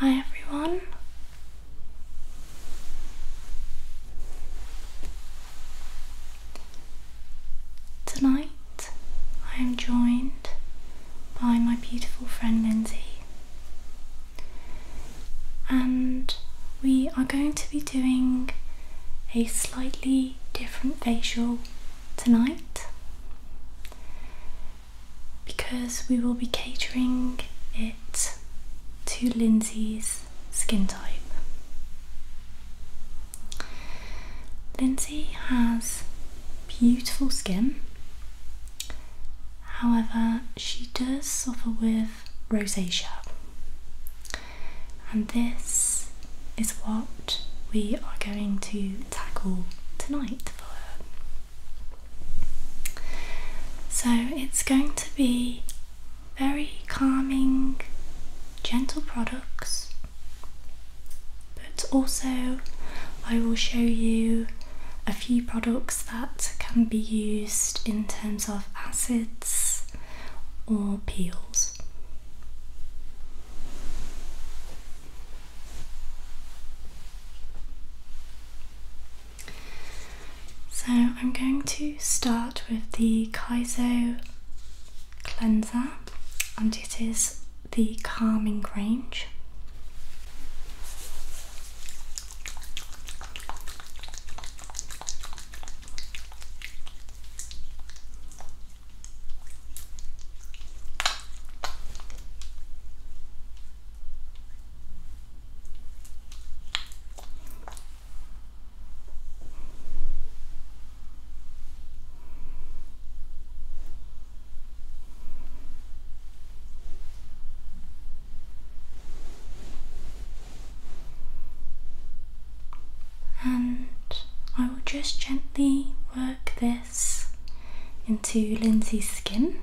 Hi everyone. Tonight I am joined by my beautiful friend Lindsay, and we are going to be doing a slightly different facial tonight because we will be catering it to Lindsay's skin type. Lindsay has beautiful skin, however, she does suffer with rosacea, and this is what we are going to tackle tonight for her. So it's going to be very calming, gentle products, but also I will show you a few products that can be used in terms of acids or peels. So I'm going to start with the Kaiso cleanser and it is the calming range. And I will just gently work this into Lindsay's skin.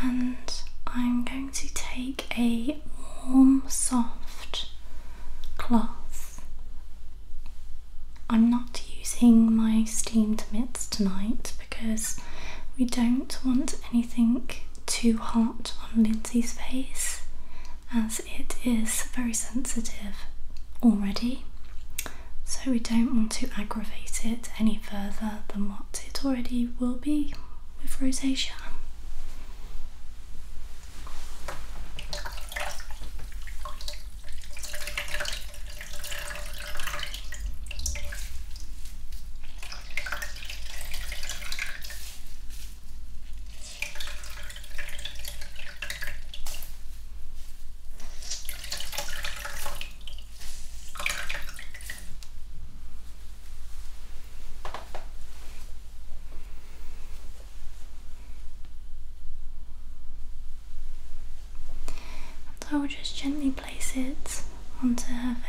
and I'm going to take a warm, soft cloth. I'm not using my steamed mitts tonight because we don't want anything too hot on Lindsay's face as it is very sensitive already. So we don't want to aggravate it any further than what it already will be with rosacea. I will just gently place it onto her face.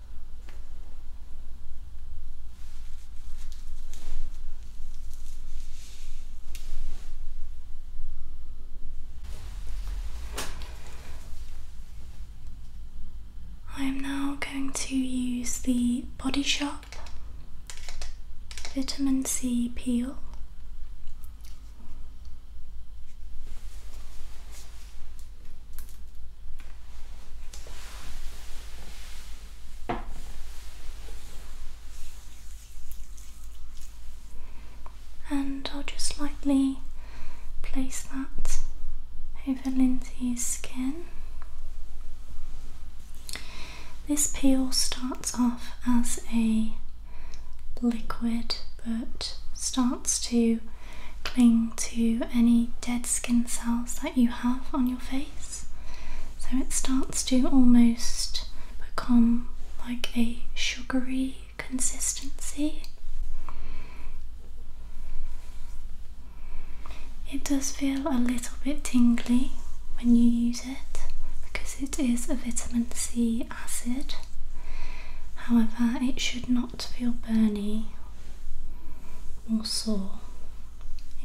I am now going to use the Body Shop Vitamin C Peel. And I'll just lightly place that over Lindsay's skin. This peel starts off as a liquid but starts to cling to any dead skin cells that you have on your face. So it starts to almost become like a sugary consistency. It does feel a little bit tingly when you use it because it is a vitamin C acid. However, it should not not feel burny or sore,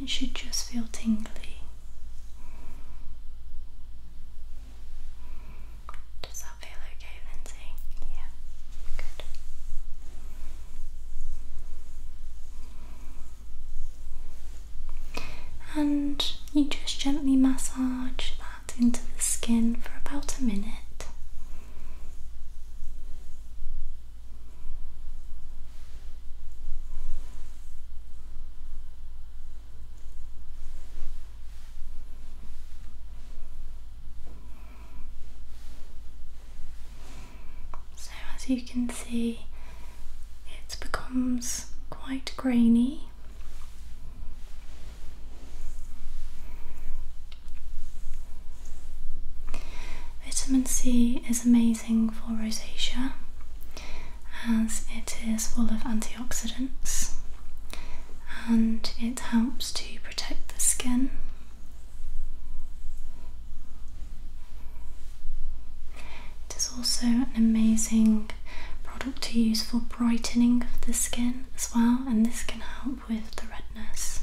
it should just feel tingly. Does that feel okay, Lindsay? Yeah, good. And you just gently massage that into the skin for about a minute. So, as you can see, it becomes quite grainy. Vitamin C is amazing for rosacea as it is full of antioxidants and it helps to protect the skin. It is also an amazing product to use for brightening of the skin as well, and this can help with the redness.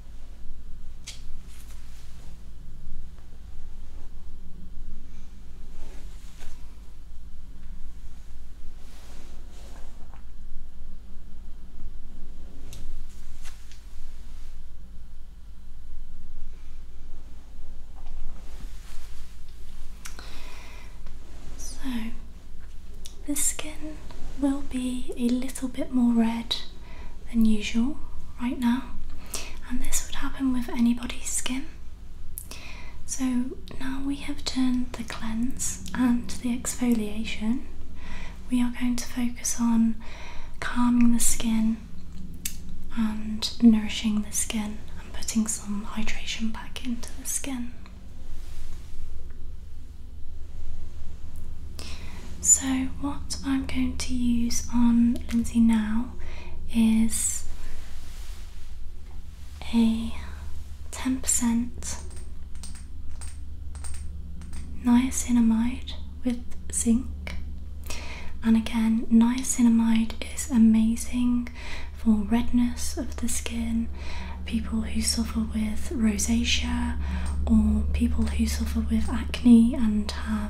So, the skin will be a little bit more red than usual right now, and this would happen with anybody's skin. So now we have turned the cleanse and the exfoliation, we are going to focus on calming the skin and nourishing the skin and putting some hydration back into the skin. So, what I'm going to use on Lindsay now is a 10% niacinamide with zinc. And again, niacinamide is amazing for redness of the skin, people who suffer with rosacea, or people who suffer with acne and have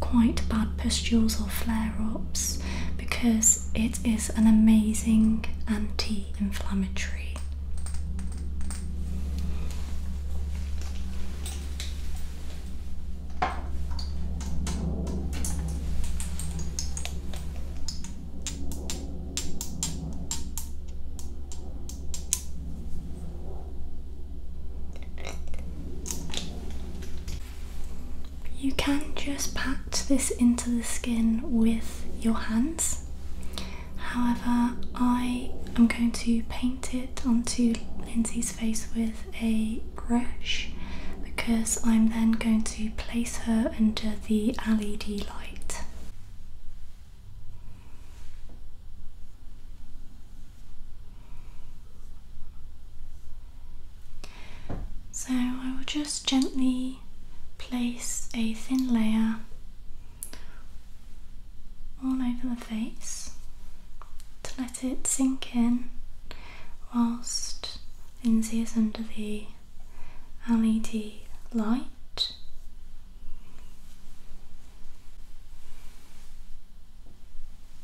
quite bad pustules or flare ups because it is an amazing anti inflammatory. You can just pat this into the skin with your hands. However, I am going to paint it onto Lindsay's face with a brush because I'm then going to place her under the LED light. So I will just gently place a thin layer all over the face to let it sink in whilst Lindsay is under the LED light.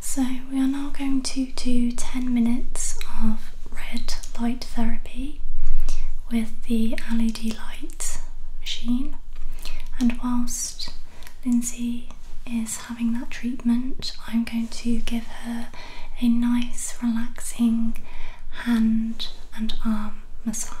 So, we are now going to do 10 minutes of red light therapy with the LED light machine. And whilst Lindsay is having that treatment, I'm going to give her a nice, relaxing hand and arm massage.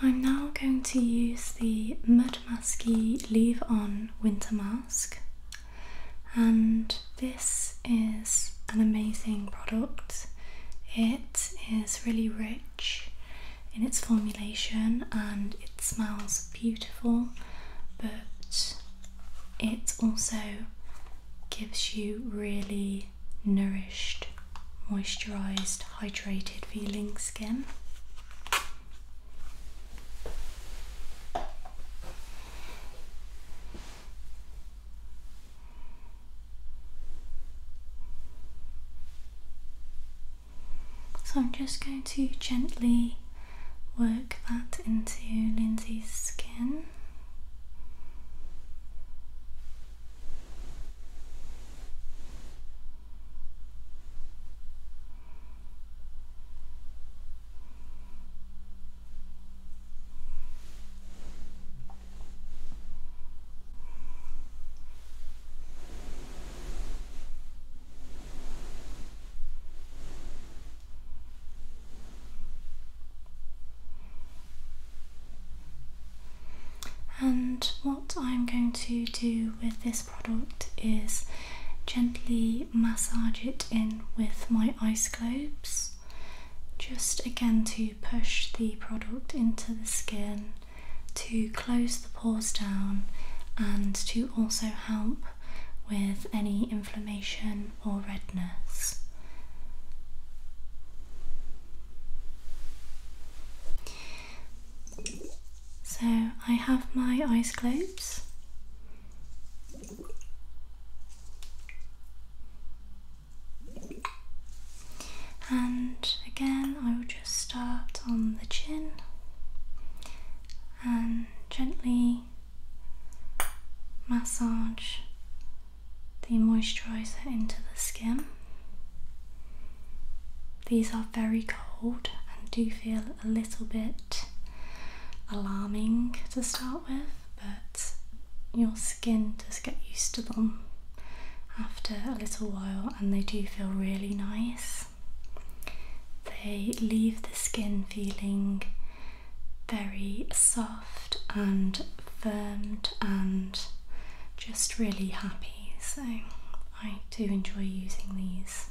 I'm now going to use the Mud Masky Leave On Winter Mask, and this is an amazing product. It is really rich in its formulation and it smells beautiful, but it also gives you really nourished, moisturized, hydrated feeling skin. So I'm just going to gently work that into Lindsay's skin. And what I'm going to do with this product is gently massage it in with my ice globes, just again to push the product into the skin to close the pores down and to also help with any inflammation or redness. So I have my ice globes and again I will just start on the chin and gently massage the moisturizer into the skin. These are very cold and do feel a little bit alarming to start with, but your skin does get used to them after a little while and they do feel really nice. They leave the skin feeling very soft and firmed and just really happy. So I do enjoy using these.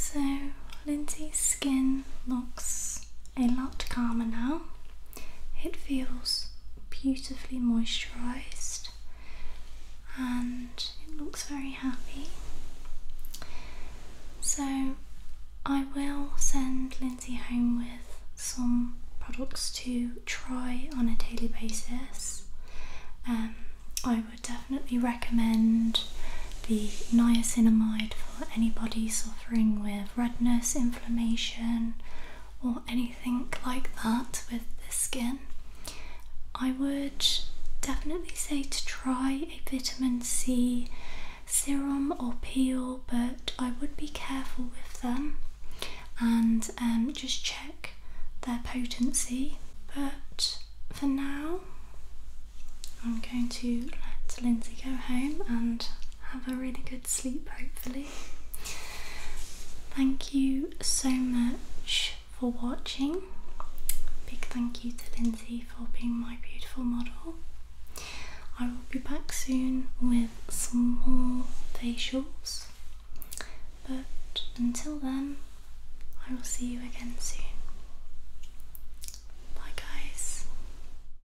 So Lindsay's skin looks a lot calmer now. It feels beautifully moisturised and it looks very happy. So, I will send Lindsay home with some products to try on a daily basis. Um, I would definitely recommend the niacinamide for anybody suffering with redness, inflammation, or anything like that with the skin, I would definitely say to try a vitamin C serum or peel, but I would be careful with them and um, just check their potency. But for now, I'm going to let Lindsay go home and have a really good sleep, hopefully. Thank you so much for watching. Big thank you to Lindsay for being my beautiful model. I will be back soon with some more facials, but until then, I will see you again soon. Bye, guys.